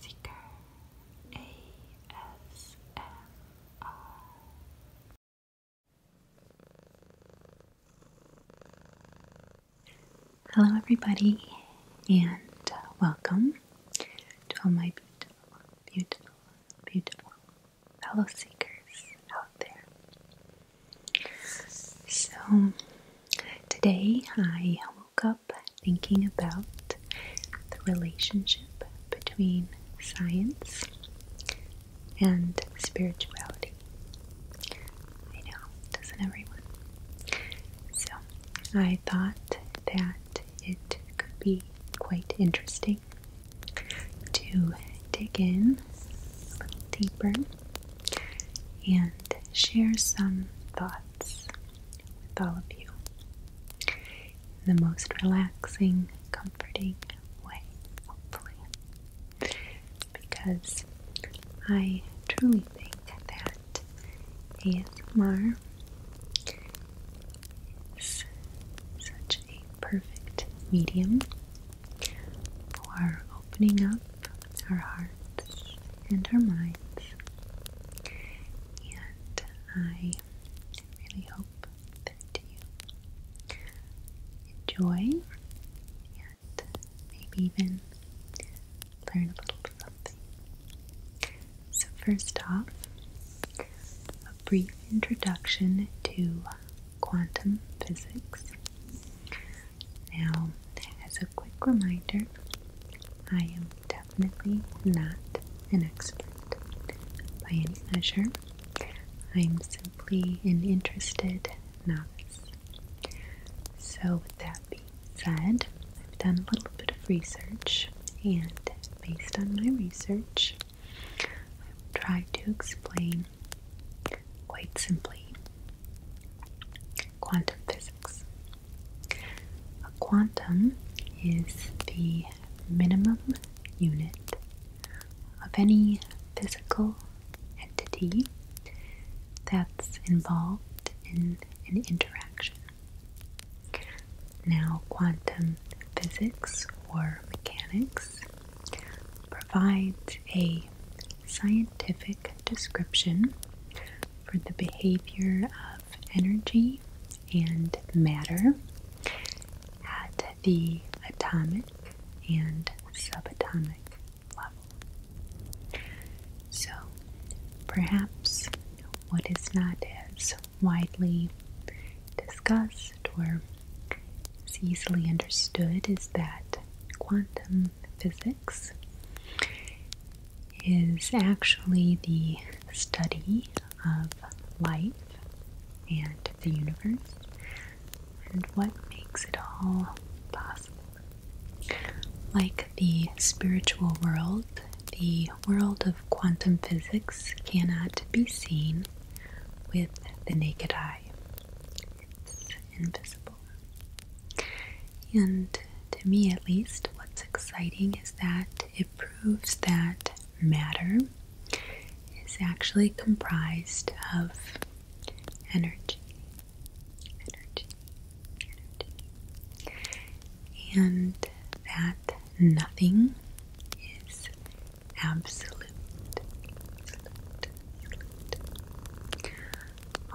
Seeker ASMR. Hello, everybody, and welcome to all my beautiful, beautiful, beautiful fellow seekers out there. So, today I woke up thinking about the relationship between science and spirituality. I know, doesn't everyone? So, I thought that it could be quite interesting to dig in a little deeper and share some thoughts with all of you in the most relaxing, comforting way, hopefully. Because I truly think that ASMR is such a perfect medium for opening up our hearts and our minds. And I really hope that you enjoy and maybe even learn a little something. So, first off, a brief introduction to quantum physics. Now, as a quick reminder, I am definitely not an expert by any measure. I am simply an interested novice. So, with that being said, I've done a little bit of research, and based on my research, I've tried to explain quite simply Quantum physics. A quantum is the minimum unit of any physical entity that's involved in an interaction. Now, quantum physics or mechanics provides a scientific description for the behavior of energy and matter at the atomic and subatomic level. So, perhaps what is not as widely discussed or easily understood is that quantum physics is actually the study of life and the universe and what makes it all possible. Like the spiritual world, the world of quantum physics cannot be seen with the naked eye it's invisible. And to me, at least, what's exciting is that it proves that matter is actually comprised of energy. Energy. Energy. And that nothing is absolute. absolute.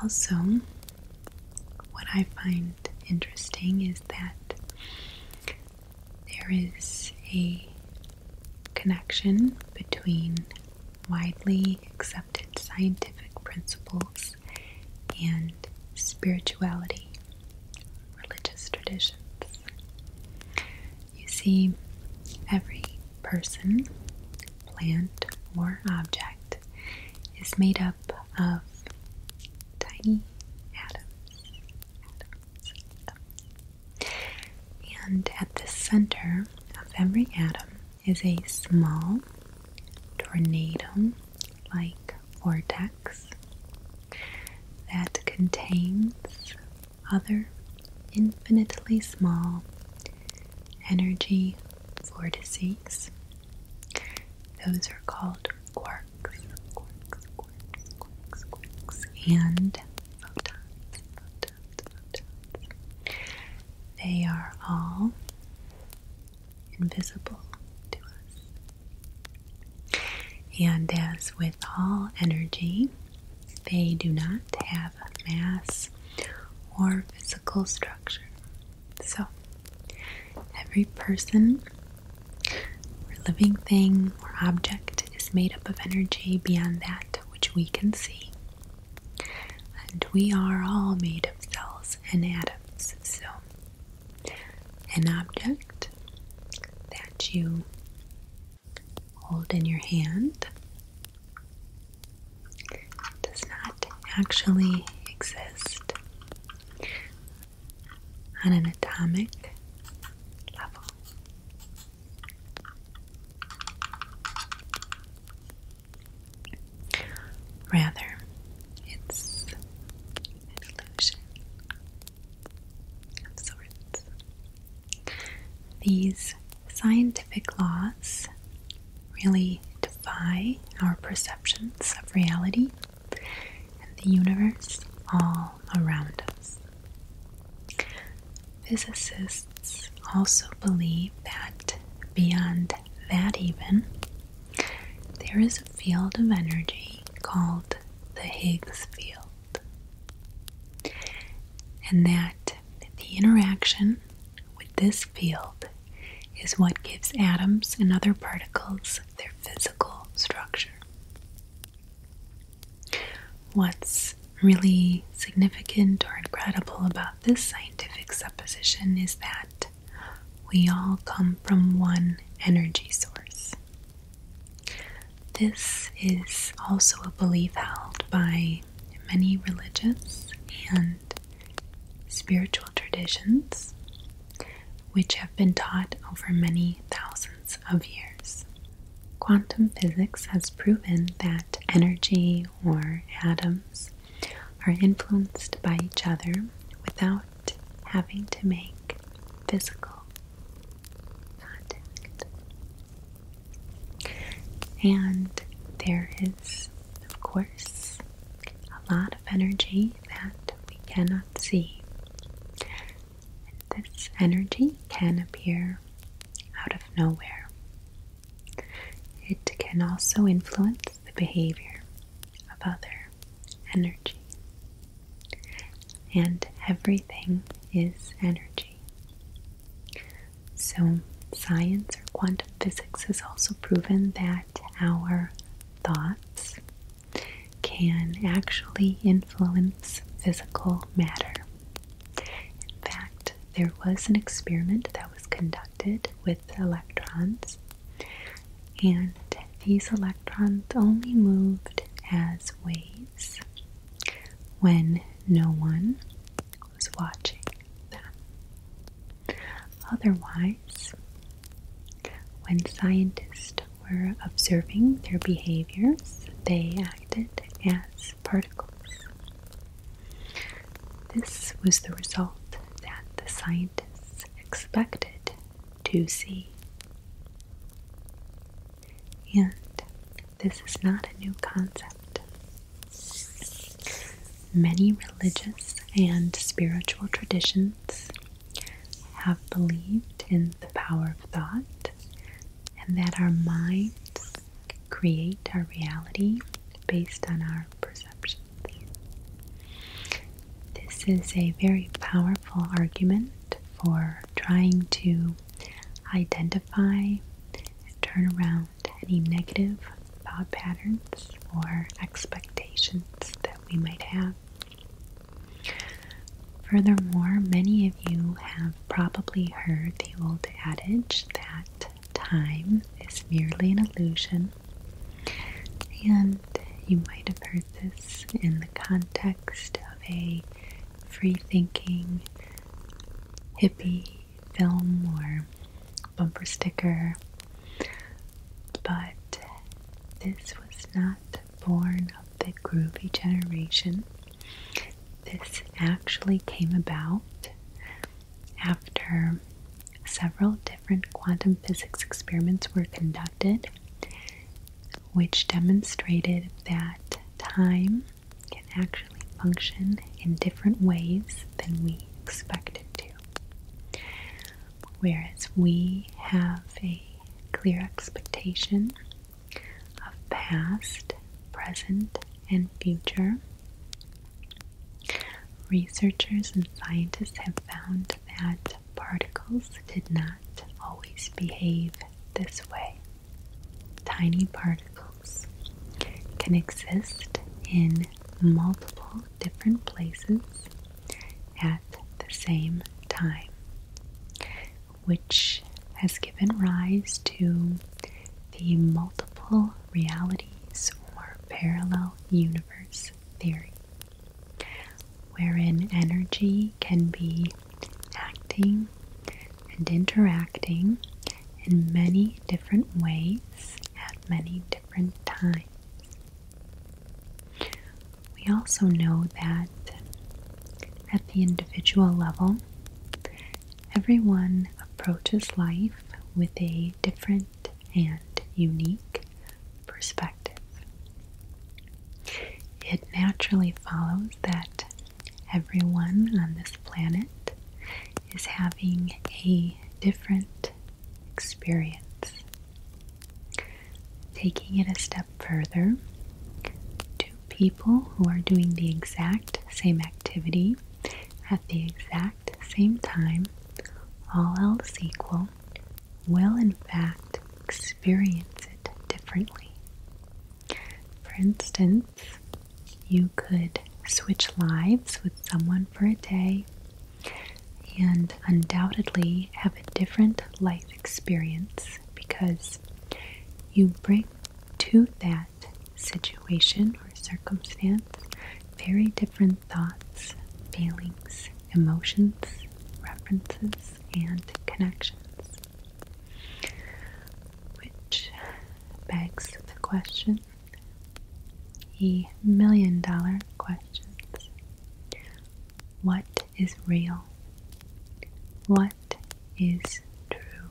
Also, what I find interesting is that there is a connection between widely accepted scientific principles and spirituality, religious traditions. You see, every person plant, or object is made up of tiny atoms. And at the center of every atom is a small tornado like vortex that contains other infinitely small energy vortices. Those are called quarks, and They are all invisible to us. And as with all energy, they do not have mass or physical structure. So, every person or living thing or object is made up of energy beyond that which we can see. And we are all made of cells and atoms. So, an object that you hold in your hand does not actually exist on an atomic level. Rather, it's an illusion of sorts. These scientific laws really defy our perceptions of reality and the universe all around us. Physicists also believe that beyond that, even, there is a field of energy called the Higgs field and that the interaction with this field is what gives atoms and other particles their physical structure. What's really significant or incredible about this scientific supposition is that we all come from one energy source. This is also a belief held by many religious and spiritual traditions, which have been taught over many thousands of years. Quantum physics has proven that energy or atoms are influenced by each other without having to make physical and there is, of course, a lot of energy that we cannot see. this energy can appear out of nowhere. It can also influence the behavior of other energy and everything is energy. So, science or quantum physics has also proven that our thoughts can actually influence physical matter. In fact, there was an experiment that was conducted with electrons, and these electrons only moved as Waves, when no one was watching them. Otherwise, when scientists were observing their behaviors, they acted as particles. This was the result that the scientists expected to see. And this is not a new concept. Many religious and spiritual traditions have believed in the power of thought and that our minds create our reality based on our perceptions. This is a very powerful argument for trying to identify and turn around any negative thought patterns or expectations that we might have. Furthermore, many of you have probably heard the old adage that time is merely an illusion. And you might have heard this in the context of a free thinking hippie film or bumper sticker, but this was not born of the groovy generation. This actually came about after several different quantum physics experiments were conducted which demonstrated that time can actually function in different ways than we expected to. Whereas we have a clear expectation of past, present, and future. Researchers and scientists have found that particles did not always behave this way. Tiny particles can exist in multiple different places at the same time, which has given rise to the multiple realities or parallel universe theory wherein energy can be acting and interacting in many different ways at many different times. We also know that at the individual level, everyone approaches life with a different and unique perspective. It naturally follows that everyone on this planet is having a different experience. Taking it a step further, two people who are doing the exact same activity at the exact same time, all else equal, will, in fact, experience it differently. For instance, you could switch lives with someone for a day and undoubtedly have a different life experience because you bring to that situation or circumstance very different thoughts, feelings, emotions, references, and connections. Which begs the question a million dollar questions. What is real? What is true?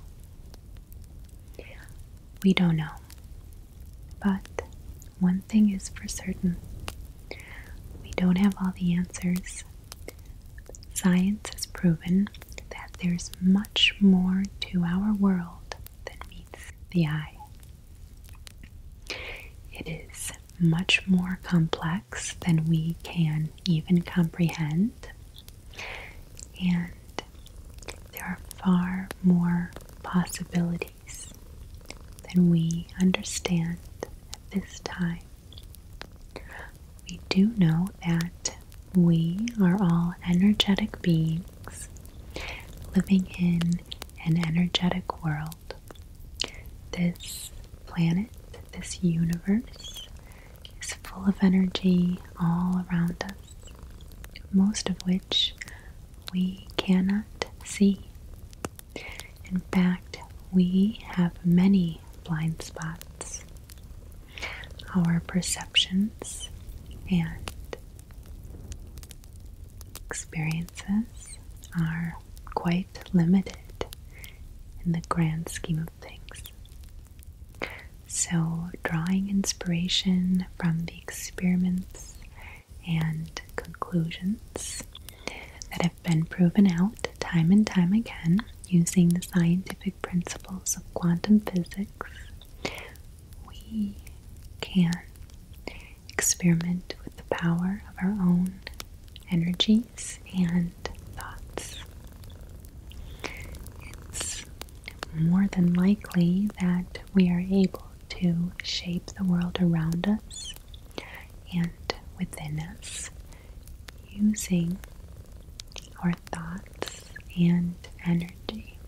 We don't know. But one thing is for certain we don't have all the answers. Science has proven that there's much more to our world than meets the eye. It is much more complex than we can even comprehend, and there are far more possibilities case than we understand at this time. We do know that we are all energetic beings living in an energetic world. This planet, this universe, is full of energy all around us most of which we cannot see. In fact, we have many blind spots. Our perceptions and experiences are quite limited in the grand scheme of things. So, drawing inspiration from the experiments and conclusions that have been proven out time and time again using the scientific principles of quantum physics, we can experiment with the power of our own energies and thoughts. It's more than likely that we are able to shape the world around us and within us using our thoughts and energy.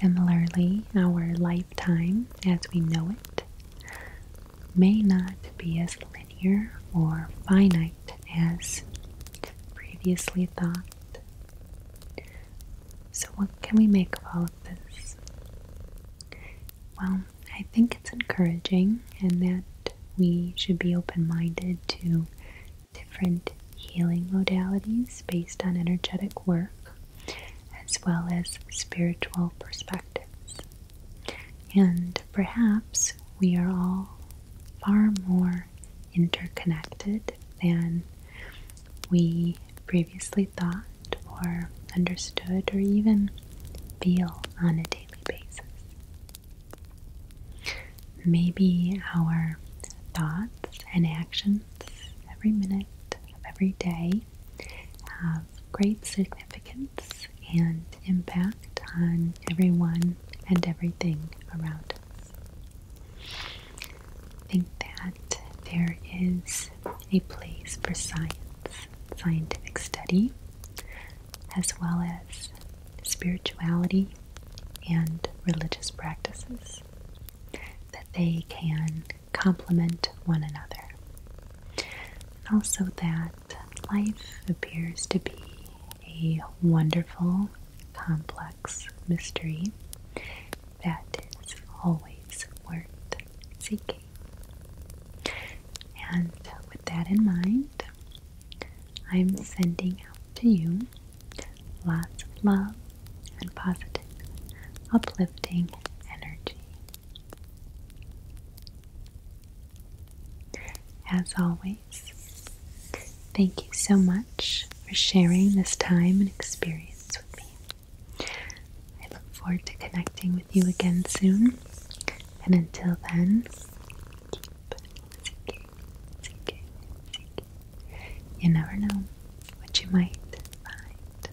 Similarly, our lifetime as we know it may not be as linear or finite as previously thought. So, what can we make of all of this? Well, I think it's encouraging and that we should be open minded to different healing modalities based on energetic work as well as spiritual perspectives. And perhaps we are all far more interconnected than we previously thought or understood or even feel on a daily basis. Maybe our thoughts and actions every minute of every day have great significance and impact on everyone and everything around us. I think that there is a place for science, scientific study, as well as spirituality and religious practices, that they can complement one another. And also that life appears to be a wonderful complex mystery that is always worth seeking. And with that in mind, I'm sending out to you lots of love and positive, uplifting energy. As always, Thank you so much for sharing this time and experience with me. I look forward to connecting with you again soon. And until then, keep seeking, seeking, seeking. You never know what you might find.